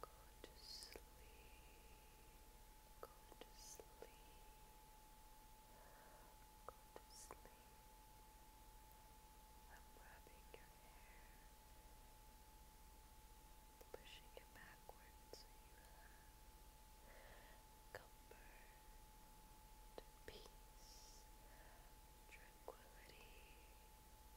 Go to sleep. Go to sleep. Go to sleep. I'm rubbing your hair, pushing it backward so you have comfort, peace, tranquility. Peace,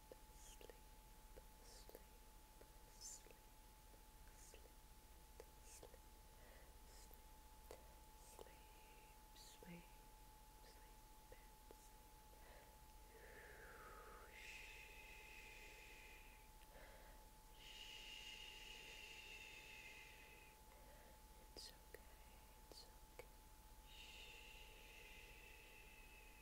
sleep, sleep, sleep, sleep, sleep, sleep, sleep, sleep, it's okay, it's okay. Shh.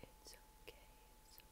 it's okay, it's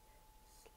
beautiful dreams.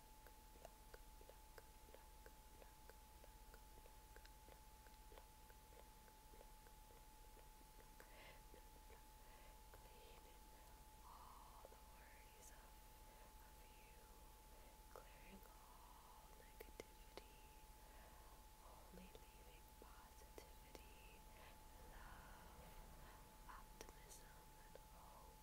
all the worries of, of you, clearing all negativity, only leaving positivity, love, optimism, and hope.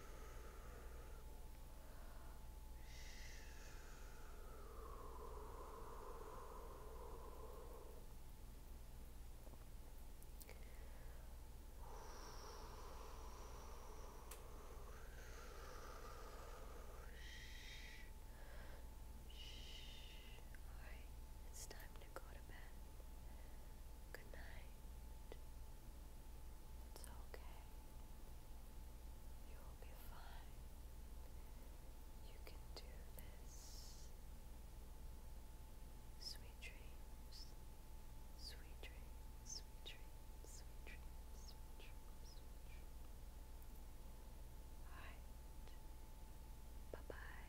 Alright, it's time to go to bed. Good night. It's okay. You will be fine. You can do this. Sweet dreams. Sweet dreams. Sweet dreams. Sweet dreams. Sweet dreams. Sweet Bye bye.